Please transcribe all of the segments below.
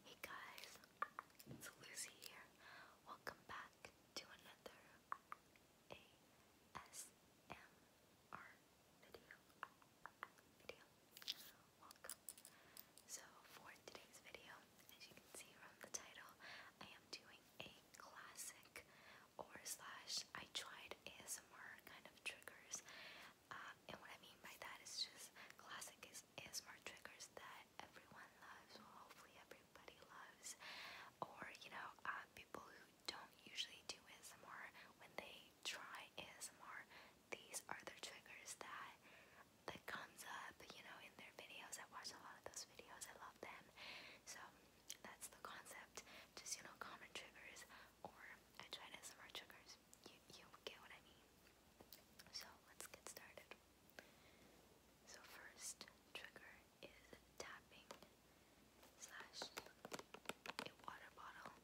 Hey guys, it's Lucy here. Welcome back to another ASMR video. So for today's video, as you can see from the title, I am doing a classic or slash I tried ASMR kind of triggers. Uh, and what I mean by that is just classic is ASMR triggers that everyone loves, well, hopefully everybody loves, or you know, uh, people who don't usually do ASMR when they try ASMR, these are the triggers that that comes up, you know, in their videos. I watch a lot of those videos. I love them. So that's the concept. Just you know, common triggers, or I tried ASMR triggers. You, you get what I mean. So let's get started. So first trigger is tapping slash a water bottle.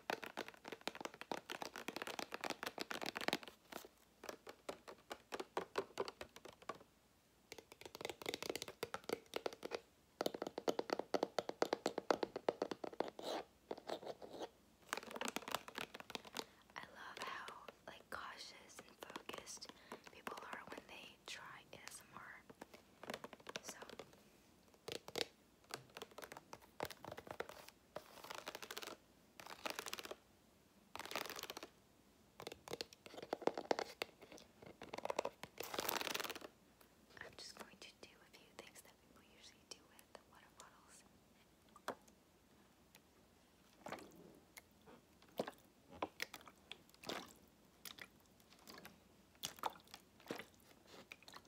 I love how like cautious and focused people are when they try ASMR. So I'm just going to do a few things that people usually do with the water bottles.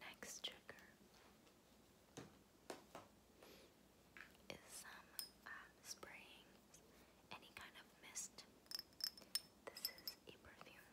Next trigger is some um, spraying any kind of mist. This is a perfume.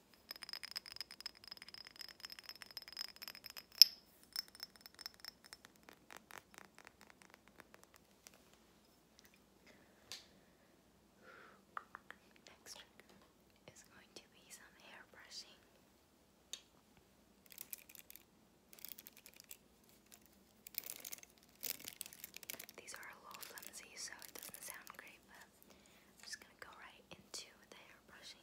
Next trick is going to be some hair brushing. These are a little flimsy, so it doesn't sound great, I'm just going to go right into the hair brushing.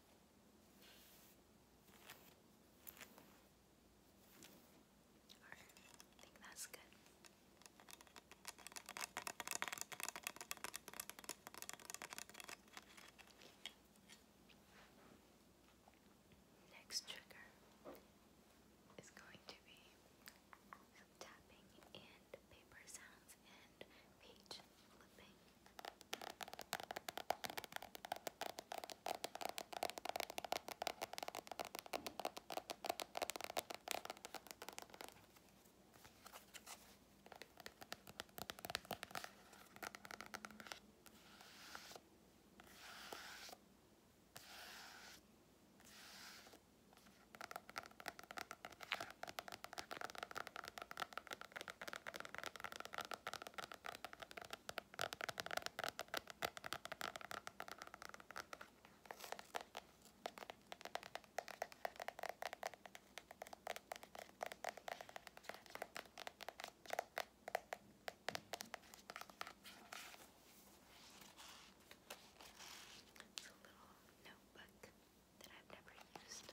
Alright, I think that's good. Next trigger is going to be some tapping and paper sounds and page flipping. It's a little notebook that I've never used.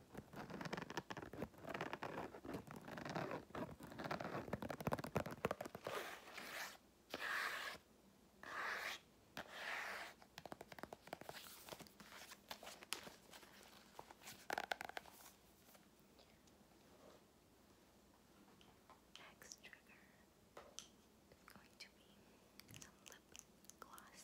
Next trigger is going to be some lip gloss.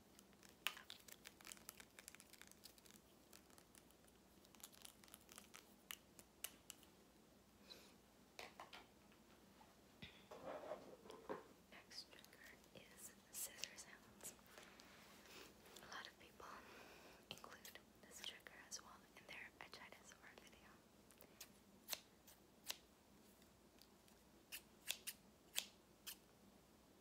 Next trigger is scissor sounds. A lot of people include this trigger as well in their Echinosaur video.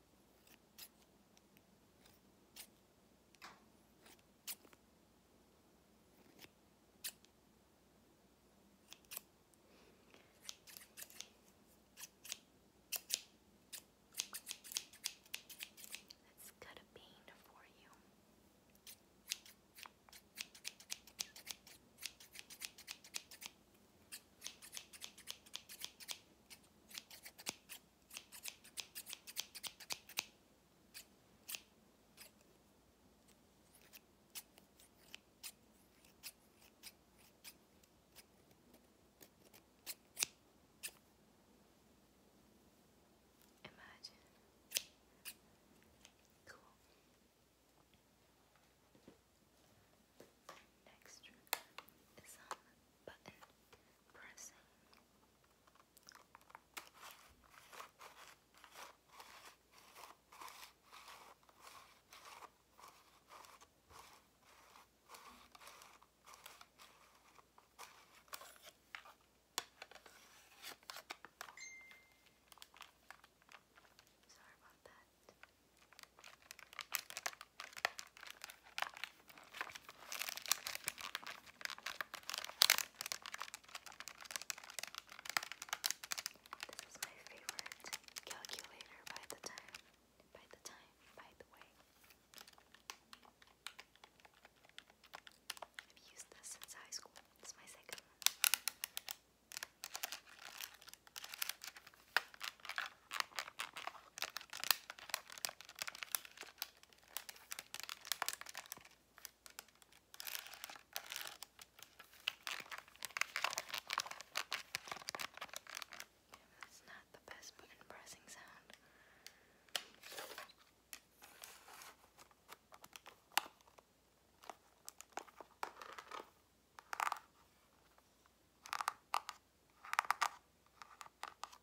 Let's cut a bean for you. There Imagine. Cool. Next is some um, button pressing. Sorry about that. This is my favorite calculator by the time, by the time, by the way. I've used this since high school. It's my second one. That's not the best button pressing sound.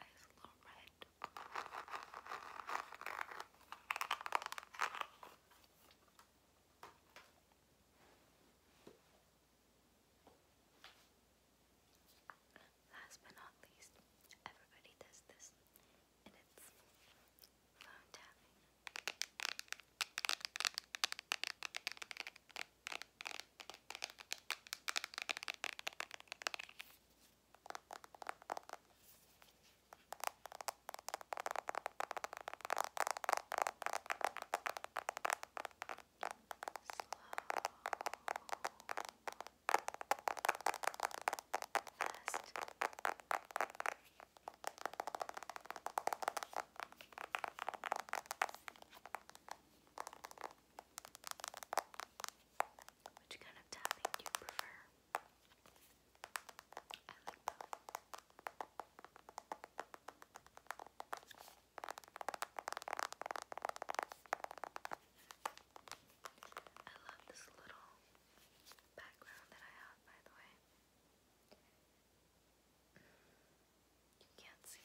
eyes a Last but not least, everybody does this, and it's phone tapping. Fast. Which kind of tapping do you prefer? I like both. I love this little background that I have, by the way. You can't see,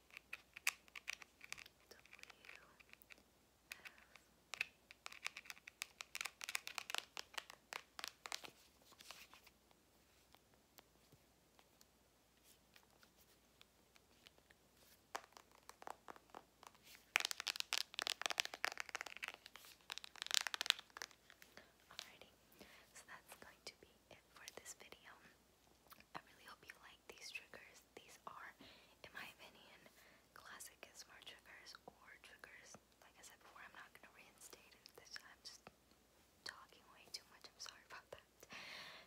Alrighty, so that's going to be it for this video. I really hope you these triggers. These are, in my opinion, classic Gizmar triggers or triggers. Like I said before, I'm not gonna reinstate this I'm just talking way too much. I'm sorry about that.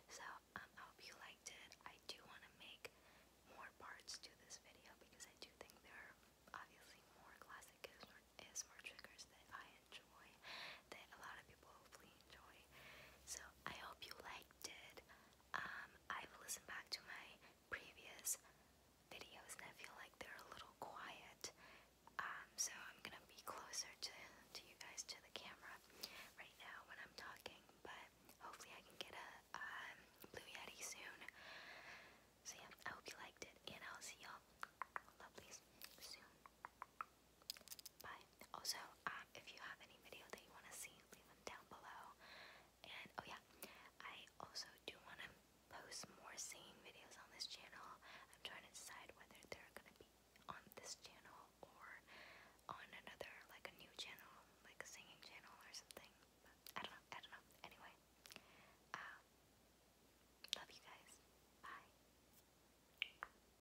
So um, I hope you liked it. I do want to make more parts to this video because I do think there are obviously more classic ASMR triggers that I enjoy that a lot of people so I hope you liked it. Um, I've listened back to my previous videos and I feel like they're a little quiet. Um, so I'm gonna be closer to to you guys to the camera right now when I'm talking, but hopefully I can get a um, blue yeti soon. So yeah, I hope you liked it, and I'll see y'all lovelies soon. But also, um, if you have any video that you want to see, leave them down below. And oh yeah, I also do want to post more singing videos on this channel. I'm trying to decide whether they're gonna be on this channel or on another, like a new channel, like a singing channel or something. But I don't know. I don't know. Anyway, um, love you guys. Bye.